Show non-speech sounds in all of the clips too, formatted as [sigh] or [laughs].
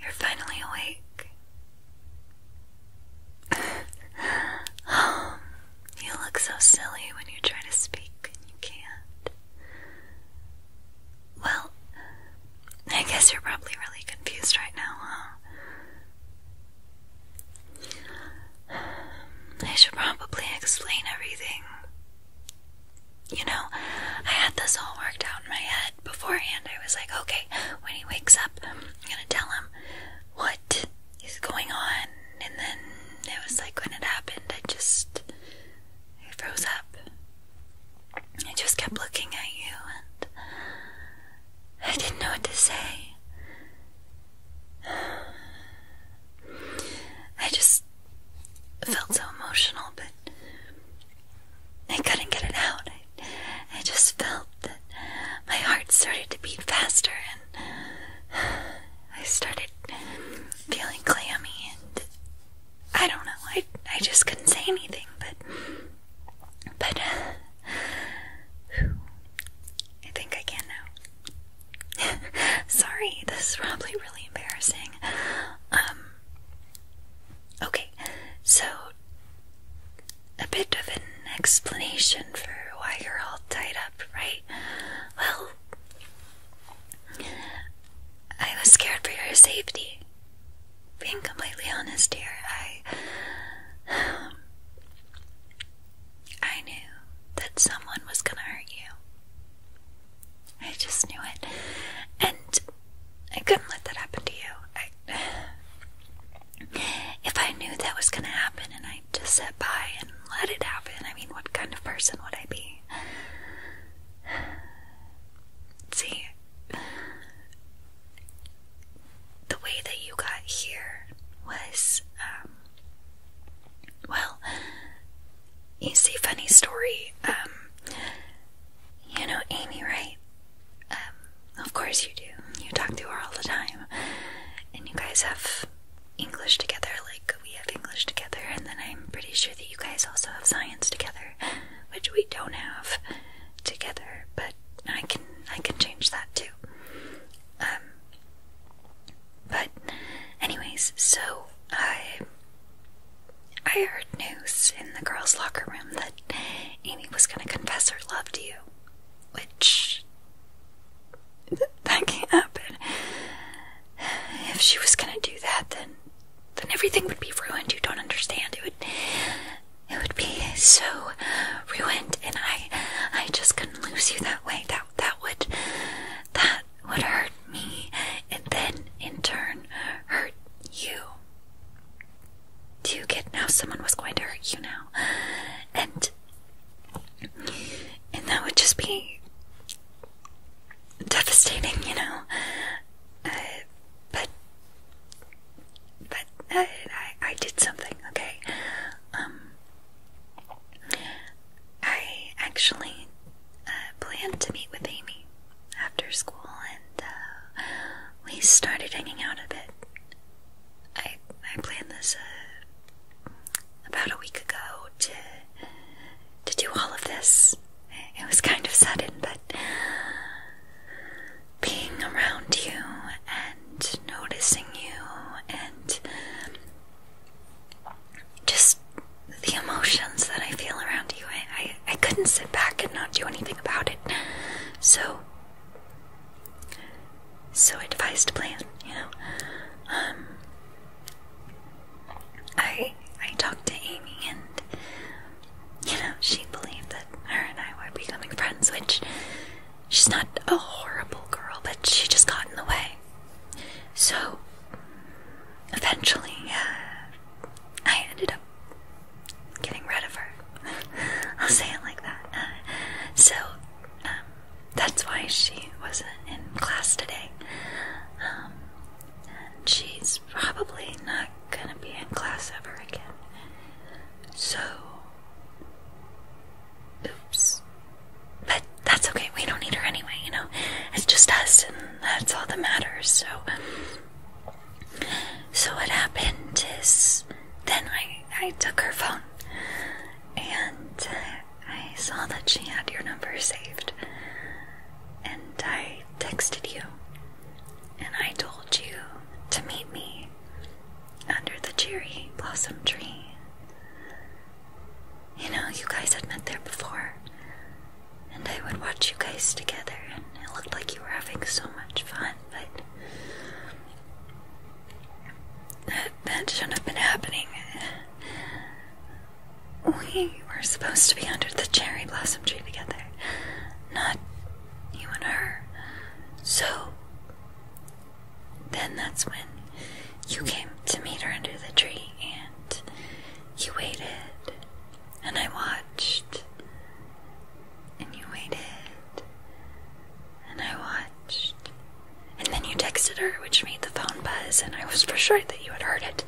You're finally awake. [gasps] you look so silly when you try to speak and you can't. Well, I guess you're probably really confused right now, huh? I should probably explain everything. You know, I had this all worked out in my head beforehand. I was like, okay, when he wakes up, I'm gonna tell him what is going on. And then it was like when it happened, I just froze up. I just kept looking at you and I didn't know what to say. [sighs] I just I felt so emotional, but I couldn't get it out. I, just felt that my heart started to beat faster and I started feeling clammy and I don't know. I, I just couldn't say anything, but but uh, I think I can now. [laughs] Sorry, this is probably really embarrassing. Um Okay, so a bit of an explanation for why you're all tied up, right? Well, I was scared for your safety. Being completely honest here, I. [sighs] I knew that someone was gonna hurt you. I just knew it. And I couldn't let that happen to you. if I knew that was going to happen and I just sat by and let it happen, I mean, what kind of person would I be? See, the way that you got here was, um, well, you see, funny story. Um, you know Amy, right? Um, of course you do. You talk to her all the time, and you guys have English together, like we have English together. And then I'm pretty sure that you guys also have science together, which we don't have together. But I can I can change that too. Um, but, anyways, so I I heard news in the girls' locker room that Amy was gonna confess her love to you, which [laughs] that can't happen. If she was gonna do that, then then everything would be ruined. You don't understand. It would it would be so ruined, and I I just couldn't lose you that way. That that would that would hurt me and then in turn hurt you. Do you get now someone was going to hurt you now? And and that would just be devastating, you know. Uh, but but uh, I, I did something, okay? Um, I actually uh, planned to meet with Amy after school, and uh, we started hanging out a bit. I I planned this uh, about a week ago to to do all of this. It was kind of sudden, but being around you and noticing you and just the emotions that I feel around you. I, I, couldn't sit back and not do anything about it. So, so I devised a plan, you know. Um, I, I talked to Amy and, you know, she believed that her and I were becoming friends, which she's not a horrible girl, but she just got in the way. So eventually, uh, I ended up getting rid of her. [laughs] I'll say it like that. Uh, so um, that's why she wasn't in class today. Um, she's probably not gonna be in class ever again. So Oops. But that's okay. We don't need her anyway, you know? It's just us, and that's all that matters, so. So, what happened is then I, I took her phone and I saw that she had your number saved. And I texted you and I told you to meet me under the cherry blossom tree. You know, you guys had met there before, and I would watch you guys together, and it looked like you were having so much fun, but that, that shouldn't have been happening. We were supposed to be under the cherry blossom tree together, not you and her. So, then that's when you came to meet her under the tree and you waited and I watched and you waited and I watched and then you texted her which made the phone buzz and I was for sure that you had heard it.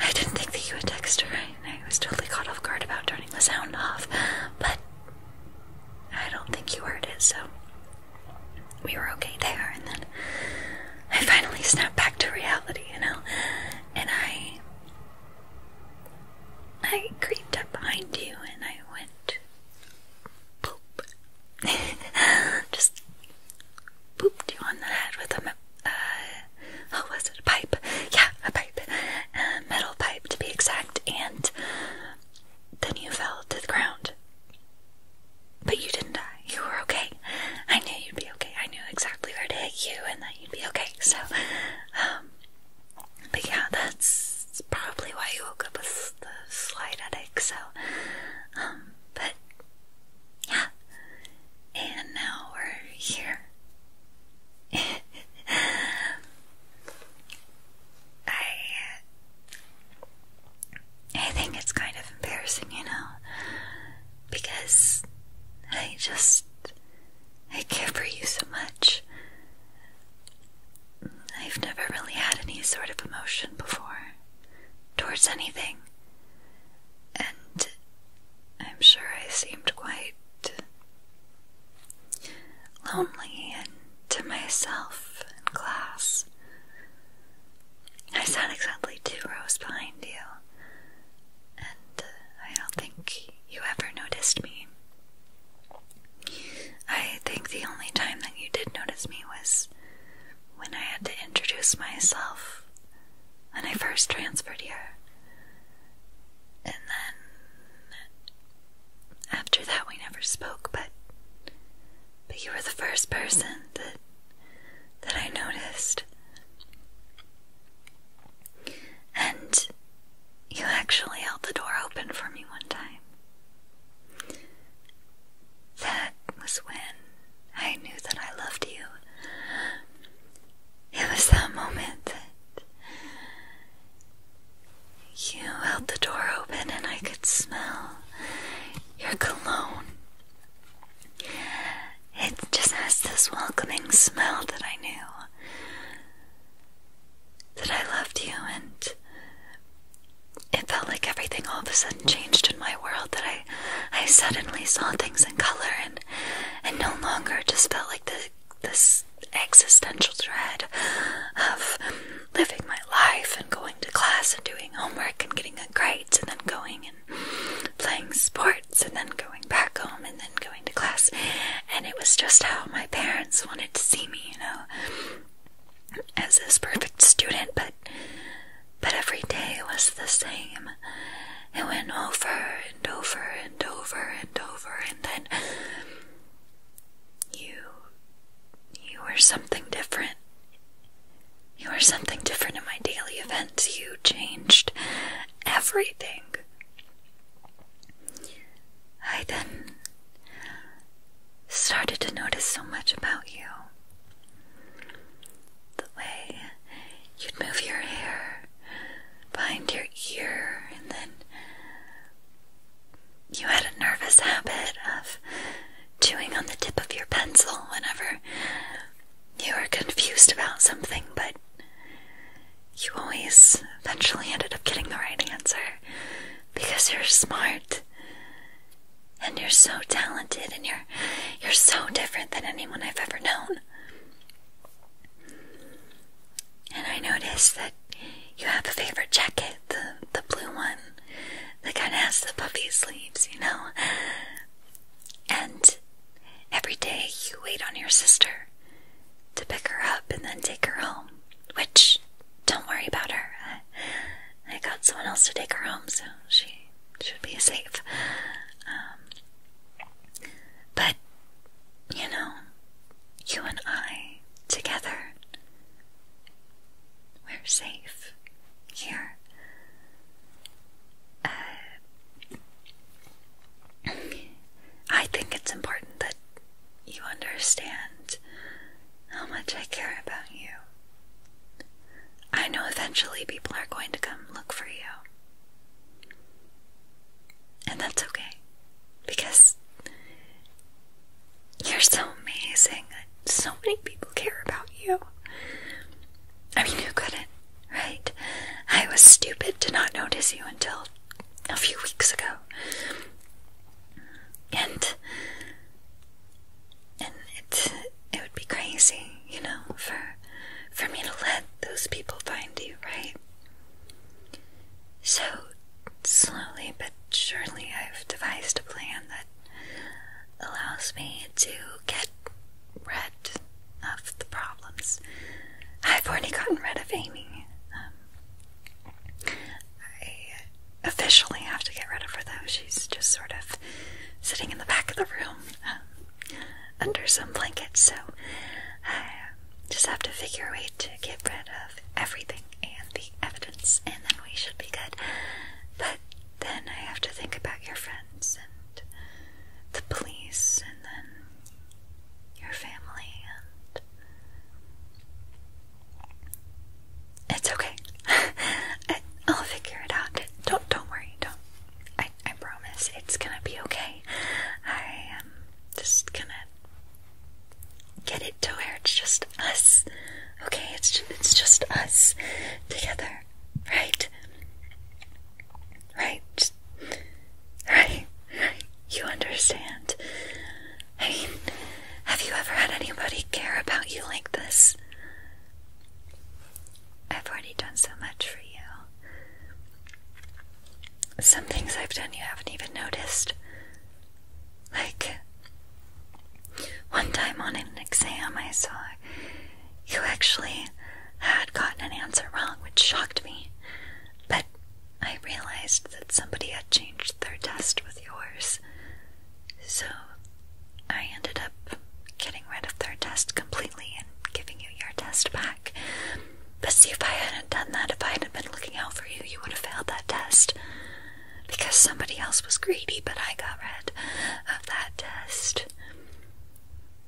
I didn't think that you would text her and I was totally caught off guard about turning the sound off but I don't think you heard it so we were okay there, and then I finally snapped back to reality, you know, and I I creeped up behind you and I went poop, [laughs] just pooped you on the head with a uh, oh was it a pipe? Yeah, a pipe, a metal pipe to be exact, and then you fell to the ground. But you didn't die. You were okay. I knew you'd be okay. I knew exactly where to hit you and that you'd be okay. So, um, but yeah, that's probably why you woke up with the slight headache. So, um, but yeah. And now we're here. [laughs] I I think it's kind of embarrassing, you know, because I just I care for you so much. I've never really had any sort of emotion before towards anything, and I'm sure I seemed quite lonely and to myself in class. I sat exactly two rows behind you, and uh, I don't think you ever noticed me. I think the only time that you did notice me was when I had to introduce myself when I first transferred here. And then after that, we never spoke, but but you were the first person that that I noticed. And you actually held the door open for me one time. That was when I knew that I loved you. It was that moment that you held the door open and I could smell your cologne. It just has this welcoming smell that I knew that I loved you, and it felt like everything all of a sudden changed in my world. That I, I suddenly saw things in color, and and no longer just felt like the this existential dread of living my life and going to class and doing homework and getting good grades and then going and playing sports and then going back home and then going to class. And it was just how my parents wanted to see me, you know, as this perfect student, but but every day was the same. It went over and over and over and over, and then you you were something different. You were something different in my daily events. You changed everything. I then started to notice so much about you. The way you'd move your hair, behind your ear, and then you had a nervous habit of chewing on the tip of your pencil whenever you were confused about something, but you always eventually ended up getting the right answer because you're smart and you're so talented and you're you're so different than anyone I've ever known. And I noticed that you have a favorite jacket, the the blue one that kind of has the puffy sleeves, you know. And every day you wait on your sister to pick her up and then take her home. Which, don't worry about her. I, I got someone else to take her home, so she should be safe. Um, but, you know, you and I together, we're safe here. Uh, I think it's important that you understand how much I care about you. I know eventually people are going to come look for you. And that's okay. Because you're so amazing. So many people care about you. I mean, who couldn't, right? I was stupid to not notice you until a few weeks ago. And and it it would be crazy you know, for for me to let those people find you, right? So slowly but surely I've devised a plan that allows me to get rid of the problems. I've already gotten rid of Amy. Um, I officially have to get rid of her though. She's just sort of sitting in the back of the room. Um, under some blankets, so I um, just have to figure a way to get rid of everything and the evidence, and then we should be good. But then I have to think about your friends and the police, and then your family, and it's okay. I, [laughs] will figure it out. Don't don't worry. Don't I, I promise it's gonna be okay. I am just gonna get it to where it's just us. Okay, it's just, it's just us together, right? Right, right, right. You understand. I mean, have you ever had anybody care about you like this? I've already done so much for you. Some things I've done you haven't even noticed. Like, one time on an exam, I saw you actually had gotten an answer wrong, which shocked me. But I realized that somebody had changed their test with yours. So I ended up getting rid of their test completely and giving you your test back. But see, if I hadn't done that, if I hadn't been looking out for you, you would have failed that test. Because somebody else was greedy, but I got rid of that test.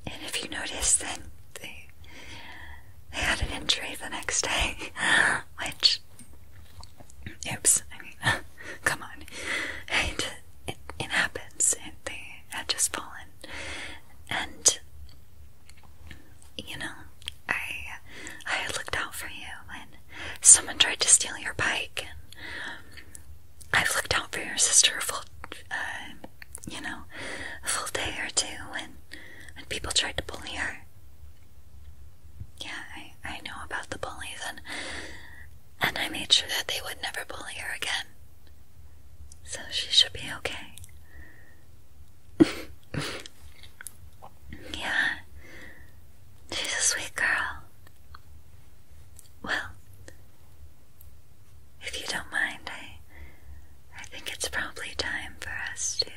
And if you notice, then they, had an injury the next day, [laughs] which. Oops, I mean, [laughs] come on. Right? it, happens. It, they had just fallen, and you know, I I looked out for you when someone tried to steal your bike, and I've looked out for your sister for um, you know, a full day or two when when people tried to bully her. Yeah, I I know about the bullies, and I made sure that they would never bully her again. So she should be okay. [laughs] yeah, she's a sweet girl. Well, if you don't mind, I, I think it's probably time for us to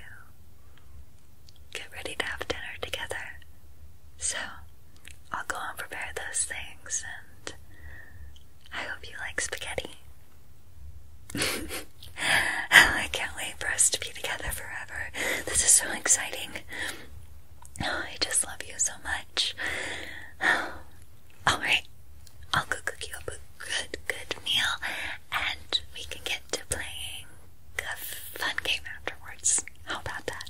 get ready to have dinner together. So, I'll go and prepare those things, and I hope you like spaghetti. [laughs] I can't wait for us to be together forever. This is so exciting. Oh, I just love you so much. [sighs] Alright, I'll go cook you a good, good meal, and we can get to playing a fun game afterwards. How about that?